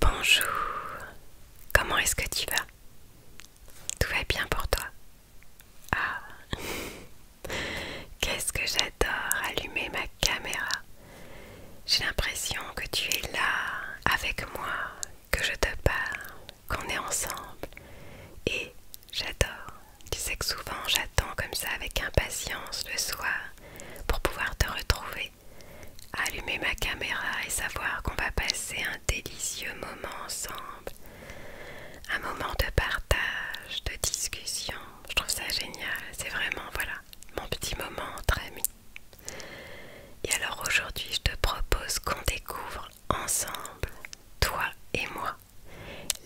Bonjour, comment est-ce que tu vas Tout va bien pour toi Ah Qu'est-ce que j'adore allumer ma caméra J'ai l'impression que tu es là avec moi, que je te parle, qu'on est ensemble. Et j'adore. Tu sais que souvent j'attends comme ça avec impatience le soir pour pouvoir te retrouver allumer ma caméra et savoir qu'on va passer un délicieux moment ensemble, un moment de partage, de discussion. Je trouve ça génial, c'est vraiment, voilà, mon petit moment entre amis. Et alors aujourd'hui, je te propose qu'on découvre ensemble, toi et moi,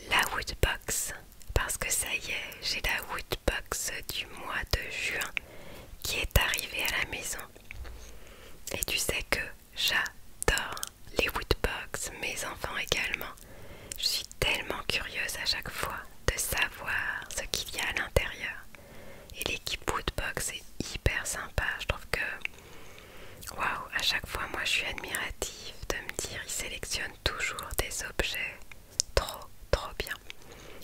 la Woodbox parce que ça y est, j'ai la woodbox du mois de juin qui est arrivée à la maison. Et tu sais que j'adore les woodbox, mes enfants également. Je suis tellement curieuse à chaque fois de savoir ce qu'il y a à l'intérieur. Et l'équipe woodbox est hyper sympa, je trouve que waouh, à chaque fois moi je suis admirative de me dire ils sélectionnent toujours des objets Trop, trop bien.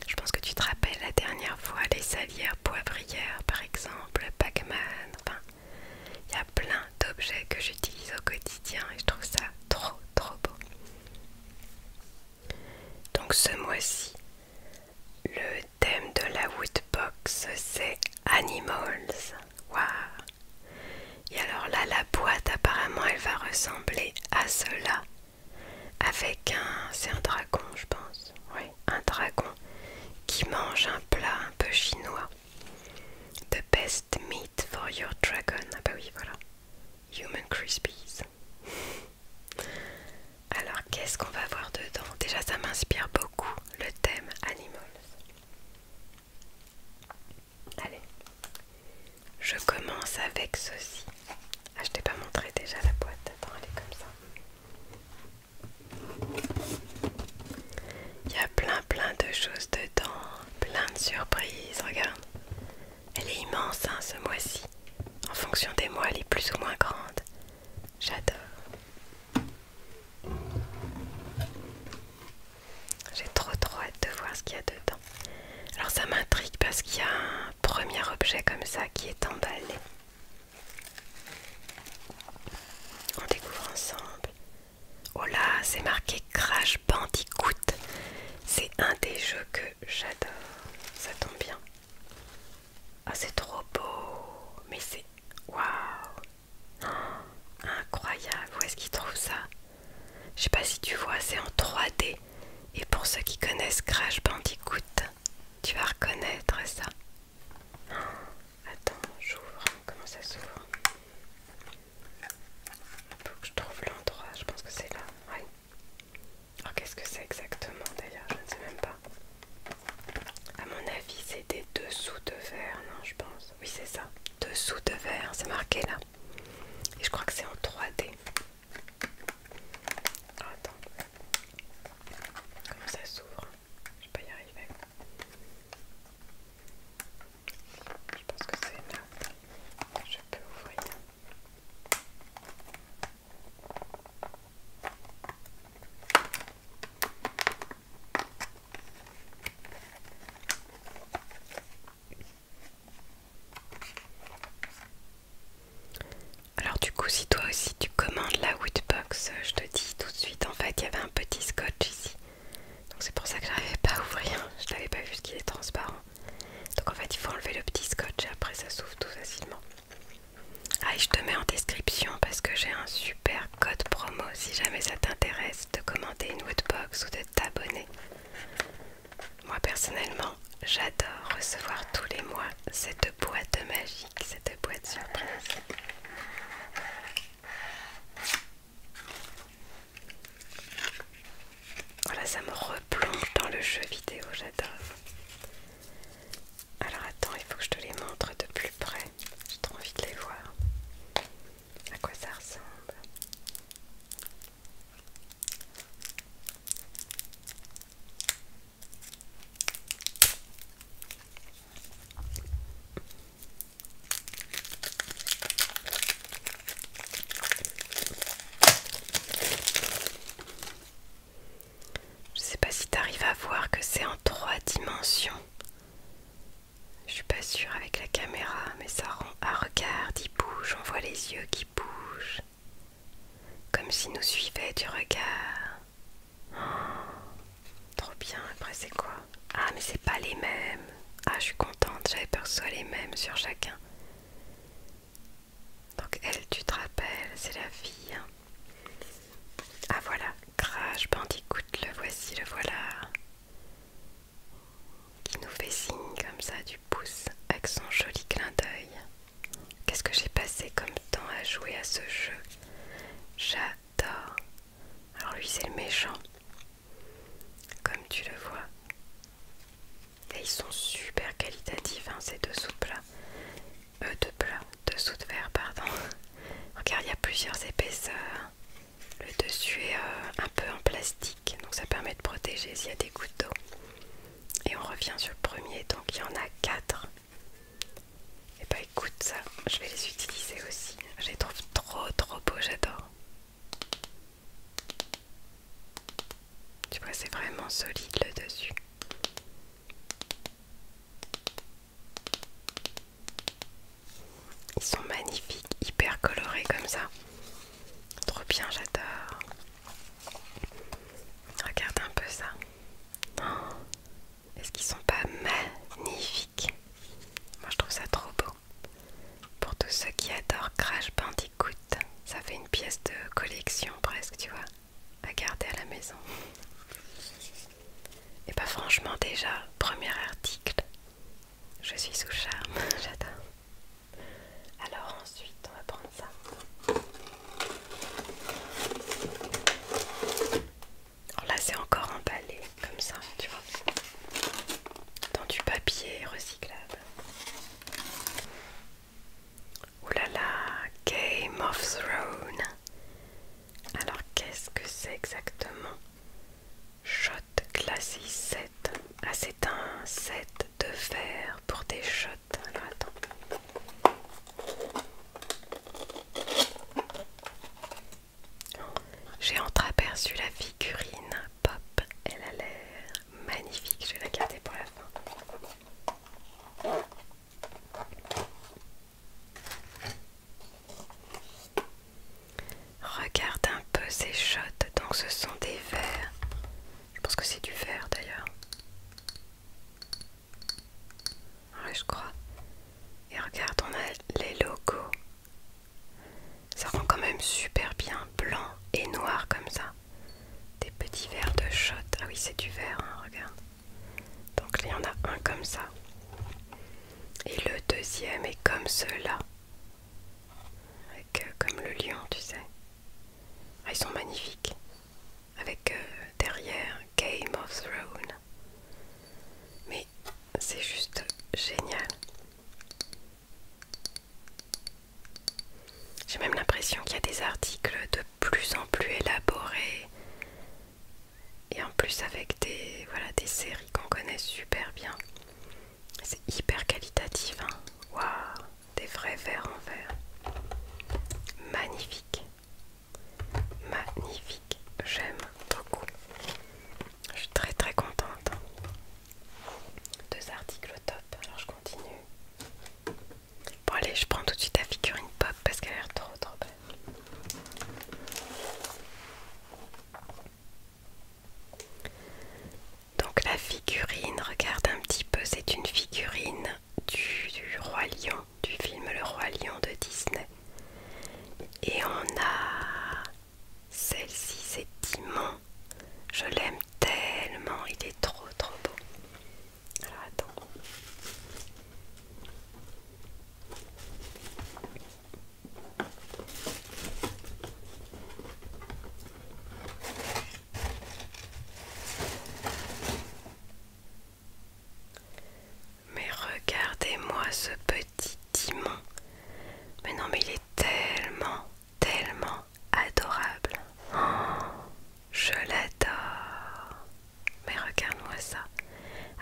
Je pense que tu te rappelles la dernière fois les salières poivrières, par exemple, Pac-Man. Enfin, il y a plein d'objets que j'utilise au quotidien et je trouve ça trop, trop beau. Donc, ce mois-ci, le thème de la Woodbox c'est Animals. Waouh! Et alors là, la boîte apparemment elle va ressembler à cela avec un... c'est un dragon je pense, oui, un dragon qui mange un plat un peu chinois. The best meat for your dragon, ah bah oui voilà, Human Crispies. Alors qu'est-ce qu'on va voir dedans Déjà ça m'inspire beaucoup le thème animals. Allez, je commence avec ceci. Ah, je t'ai pas montré déjà la boîte. Attends, elle est comme ça. Il y a plein plein de choses dedans, plein de surprises, regarde. Elle est immense hein, ce mois-ci. En fonction des mois, elle est plus ou moins grande. J'adore. J'ai trop trop hâte de voir ce qu'il y a dedans. Alors ça m'intrigue parce qu'il y a un premier objet comme ça qui est emballé. On découvre ensemble. Oh là, c'est marqué Crash Bandicoot. C'est un des jeux que j'adore. Ça tombe bien. Ah, c'est trop beau. Mais c'est. Waouh! Oh, incroyable. Où est-ce qu'ils trouvent ça? Je sais pas si tu vois, c'est en 3D. Et pour ceux qui connaissent Crash Bandicoot, tu vas reconnaître ça. Oh, attends, j'ouvre. Comment ça s'ouvre Faut que je trouve l'endroit. Je pense que c'est là. Alors oh, qu'est-ce que c'est exactement d'ailleurs Je ne sais même pas. À mon avis, c'est des dessous de verre, non Je pense. Oui, c'est ça. Dessous de verre, c'est marqué là. Et je crois que c'est en 3D. Ah, attends. Comment ça s'ouvre Je peux pas y arriver. Je pense que c'est là je peux ouvrir. Alors du coup si toi aussi tu commandes la Woodbox, euh, je te dis tout de suite en fait il y avait un petit scotch ici. Donc c'est pour ça que j'arrivais pas à ouvrir, je l'avais pas vu parce qu'il est transparent. Donc en fait il faut enlever le petit scotch et après ça s'ouvre tout facilement. Ah je te mets en description parce que j'ai un super code promo si jamais ça t'intéresse de commander une woodbox ou de t'abonner. Moi personnellement, j'adore recevoir tous les mois cette boîte magique, cette boîte surprise. Voilà, ça me replonge dans le jeu vidéo, j'adore. Alors attends, il faut que je te les montre de plus près. J'ai trop envie de les voir à quoi ça ressemble. Je sais pas si tu arrives à voir que c'est en trois dimensions. Je suis pas sûre avec la caméra, mais ça rend. Ah, regarde, il bouge, on voit les yeux qui bougent. Comme si nous suivait du regard. Oh, trop bien, après c'est quoi Ah, mais c'est pas les mêmes. Ah, je suis contente, j'avais peur que ce soit les mêmes sur chacun. Donc, elle, tu te rappelles, c'est la fille. Hein. Ah, voilà, Crash Bandicoot, le voici, le voilà qui nous fait signe comme ça du pouce avec son joli clin d'œil. Qu'est-ce que j'ai passé comme temps à jouer à ce jeu J'adore. Alors lui c'est le méchant, comme tu le vois. Et ils sont super qualitatifs hein, ces deux sous-plats. Euh, deux plats, deux sous de verre, pardon. Regarde, il y a plusieurs épaisseurs. Le dessus est euh, un peu en plastique, donc ça permet de protéger s'il y a des gouttes d'eau. Et on revient sur le premier, donc il y en a quatre. Et eh bah ben, écoute, ça, je vais les utiliser aussi. Je les trouve trop trop beaux, j'adore. Tu vois, c'est vraiment solide le dessus. Ils sont magnifiques, hyper colorés comme ça. Trop bien, j'adore. Regarde un peu ça. Oh, est-ce qu'ils sont pas magnifiques Moi je trouve ça trop beau. Pour tous ceux qui adorent Crash Bandicoot, ça fait une pièce de collection presque, tu vois, à garder à la maison. Et bah franchement déjà, premier article, je suis sous charme, j'adore. Alors ensuite, on va prendre ça. Alors oh, là, c'est encore emballé comme ça, tu vois, dans du papier recyclable. Oulala, Game of Thrones. Alors qu'est-ce que c'est exactement Shot Classy 7. Ah c'est un set de verre pour des shots. Alors attends. J'ai entreaperçu la figurine pop. Elle a l'air magnifique. Je vais la garder pour la fin. Regarde un peu ces shots, donc ce sont des verres. Je pense que c'est du verre d'ailleurs. Ouais, je crois. Et regarde, on a les logos. Ça rend quand même super bien blanc et noir comme ça. Des petits verres de shot. Ah oui, c'est du verre, hein, regarde. Donc il y en a un comme ça. Et le deuxième est comme cela, là Avec euh, comme le lion, tu sais. Ah, ils sont magnifiques. Avec euh, derrière Game of Thrones. Mais c'est juste génial. J'ai même l'impression qu'il y a des articles de plus en plus élaborés et en plus avec des, voilà, séries qu'on connaît super bien. C'est hyper qualitatif, hein. Waouh, des vrais verres en verre. Magnifique. Magnifique. J'aime beaucoup. Je suis très très contente. Deux articles au top. Alors je continue. Bon allez, je prends tout de suite la figurine pop parce qu'elle a l'air trop trop belle. Donc la figurine, regarde un petit peu, c'est une figurine du, Roi Lion, du film Le Roi Lion de Disney. Et on a celle-ci, c'est Timon. Je l'aime tellement, il est trop trop beau. Alors attends. Mais regardez-moi ce petit dimon. Mais non, mais il est tellement, tellement adorable. Oh, je l'adore. Mais regarde-moi ça,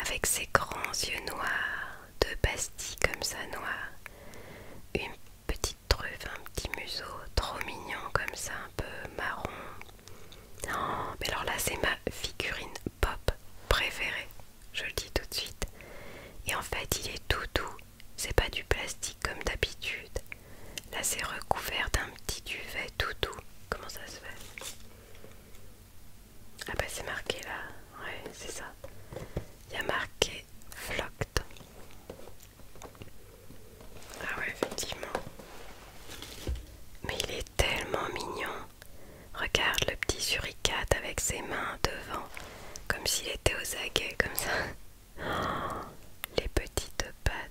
avec ses grands yeux noirs, de pastilles comme ça noir, une petite truffe, un petit museau, trop mignon comme ça, un peu marron. Non, oh, mais alors là, c'est ma figurine pop préférée, je le dis tout de suite. Et en fait, il est tout doux, c'est pas du plastique comme d'habitude. Là c'est recouvert d'un petit duvet tout doux. Comment ça se fait Ah bah c'est marqué là. Ouais, c'est ça. Il y a marqué Flocked. Ah ouais, effectivement. Mais il est tellement mignon. Regarde le petit suricate avec ses mains devant, comme s'il était aux aguets, comme ça. Oh, les petites pattes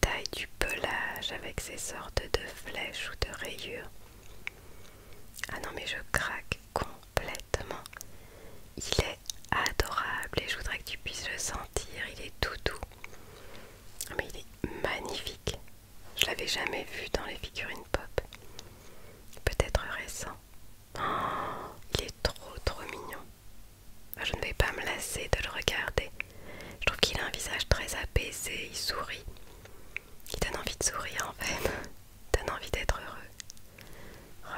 taille du pelage avec ces sortes de flèches ou de rayures. Ah non mais je craque complètement. Il est adorable et je voudrais que tu puisses le sentir. Il est tout doux. Ah, mais il est magnifique. Je l'avais jamais vu dans les figurines pop. Peut-être récent. Oh, il est trop trop mignon. Ah, je ne vais pas me lasser de le regarder. Je trouve qu'il a un visage très apaisé, il sourit. Il donne envie de sourire en fait, il donne envie d'être heureux.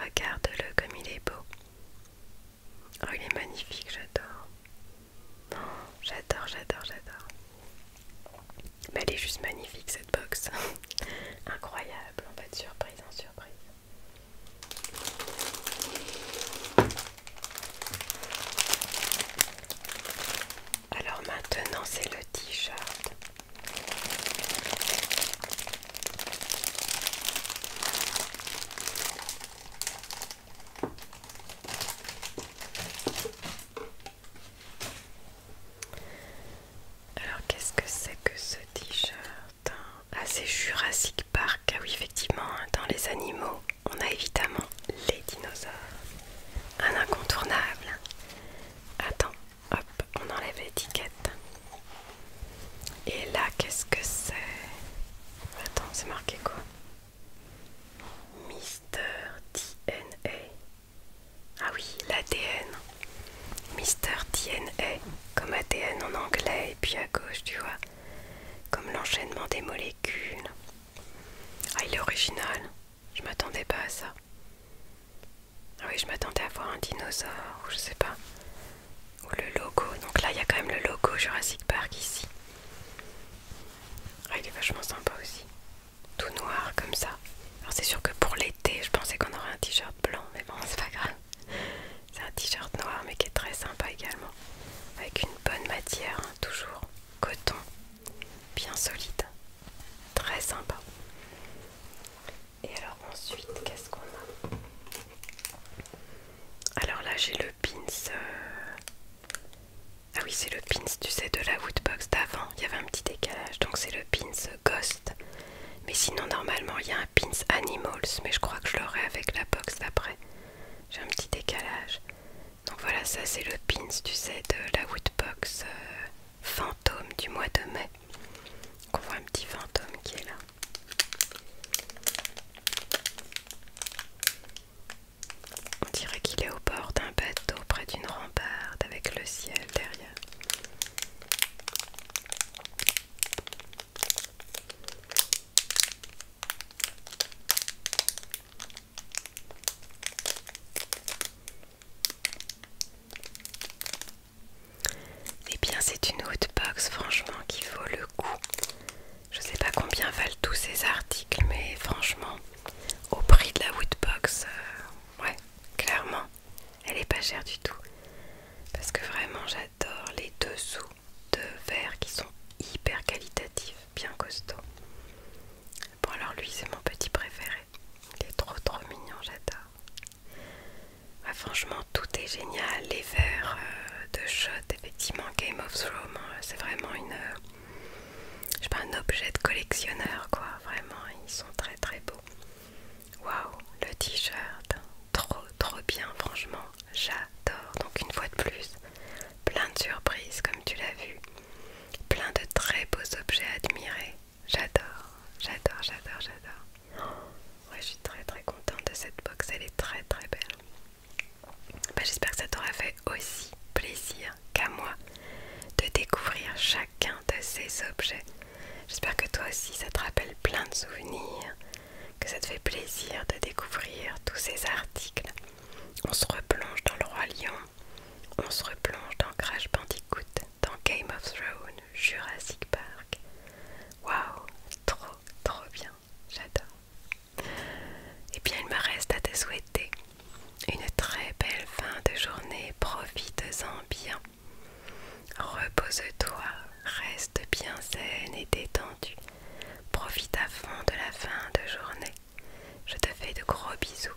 Regarde-le comme il est beau. Oh, il est magnifique, j'adore. non, oh, j'adore, j'adore, j'adore. Mais elle est juste magnifique cette box. Incroyable, en fait, de surprise en hein, surprise. Alors maintenant c'est le t-shirt. Alors qu'est-ce que c'est que ce t-shirt Ah c'est Jurassic Park, ah oui effectivement, hein, dans les animaux on a évidemment les dinosaures. Un incontournable. Attends, hop, on enlève l'étiquette. Et là, qu'est-ce que c'est Attends, c'est marqué quoi Mister DNA. Ah oui, l'ADN. Mister DNA, comme ADN en anglais, et puis à gauche, tu vois, comme l'enchaînement des molécules. Ah, il est original. Je m'attendais pas à ça. Ah oui, je m'attendais à voir un dinosaure, ou je sais pas. Ou le logo. Donc là, il y a quand même le logo Jurassic Park ici. Ah, il est vachement sympa aussi. Tout noir comme ça. Alors c'est sûr que pour l'été, je pensais qu'on aurait un t-shirt blanc, mais bon, c'est pas grave. C'est un t-shirt noir mais qui est très sympa également. Avec une bonne matière, hein, toujours coton, bien solide, très sympa. Et alors ensuite, qu'est-ce qu'on a Alors là j'ai le pins. Euh, ah oui c'est le pins, tu sais, de la woodbox d'avant. Il y avait un petit décalage, donc c'est le pins ghost. Mais sinon normalement il y a un pins animals, mais je crois que je l'aurai avec la box d'après j'ai un petit décalage. Donc voilà, ça c'est le pins, tu sais, de la Woodbox euh, fantôme du mois de mai. qu'on on voit un petit fantôme qui est là. On dirait qu'il est au bord d'un bateau près d'une rambarde avec le ciel derrière. Eh bien, c'est une woodbox franchement qui vaut le coup. Je sais pas combien valent tous ces articles, mais franchement, au prix de la woodbox, euh, ouais, clairement, elle est pas chère du tout. Parce que vraiment, j'adore les dessous de verre qui sont hyper qualitatifs, bien costauds. Bon alors lui c'est mon petit préféré. Il est trop trop mignon, j'adore. franchement tout est génial, les verres euh, de shot, effectivement Game of Thrones, euh, c'est vraiment une... Euh, je pas, un objet de collectionneur quoi, vraiment, ils sont très très beaux. Waouh, le t-shirt, trop trop bien franchement, J'adore. Donc une fois de plus, plein de surprises comme tu l'as vu. Plein de très beaux objets à admirer. J'adore, j'adore, j'adore, j'adore. Oh, je suis très très contente de cette box. Elle est très très belle. Bah, j'espère que ça t'aura fait aussi plaisir qu'à moi de découvrir chacun de ces objets. J'espère que toi aussi ça te rappelle plein de souvenirs, que ça te fait plaisir de découvrir tous ces articles. On se replonge dans le Roi Lion, on se replonge dans Crash Bandicoot, dans Game of Thrones, Jurassic Park. Waouh, trop trop bien, j'adore. Et eh bien il me reste à te souhaiter une très belle fin de journée, profite-en bien. Repose-toi, reste bien saine et détendue. Profite à fond de la fin de journée. Je te fais de gros bisous.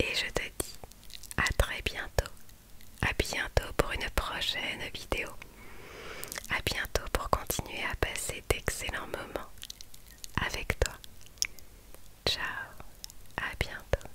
Et je te dis à très bientôt. À bientôt pour une prochaine vidéo. À bientôt pour continuer à passer d'excellents moments avec toi. Ciao, à bientôt.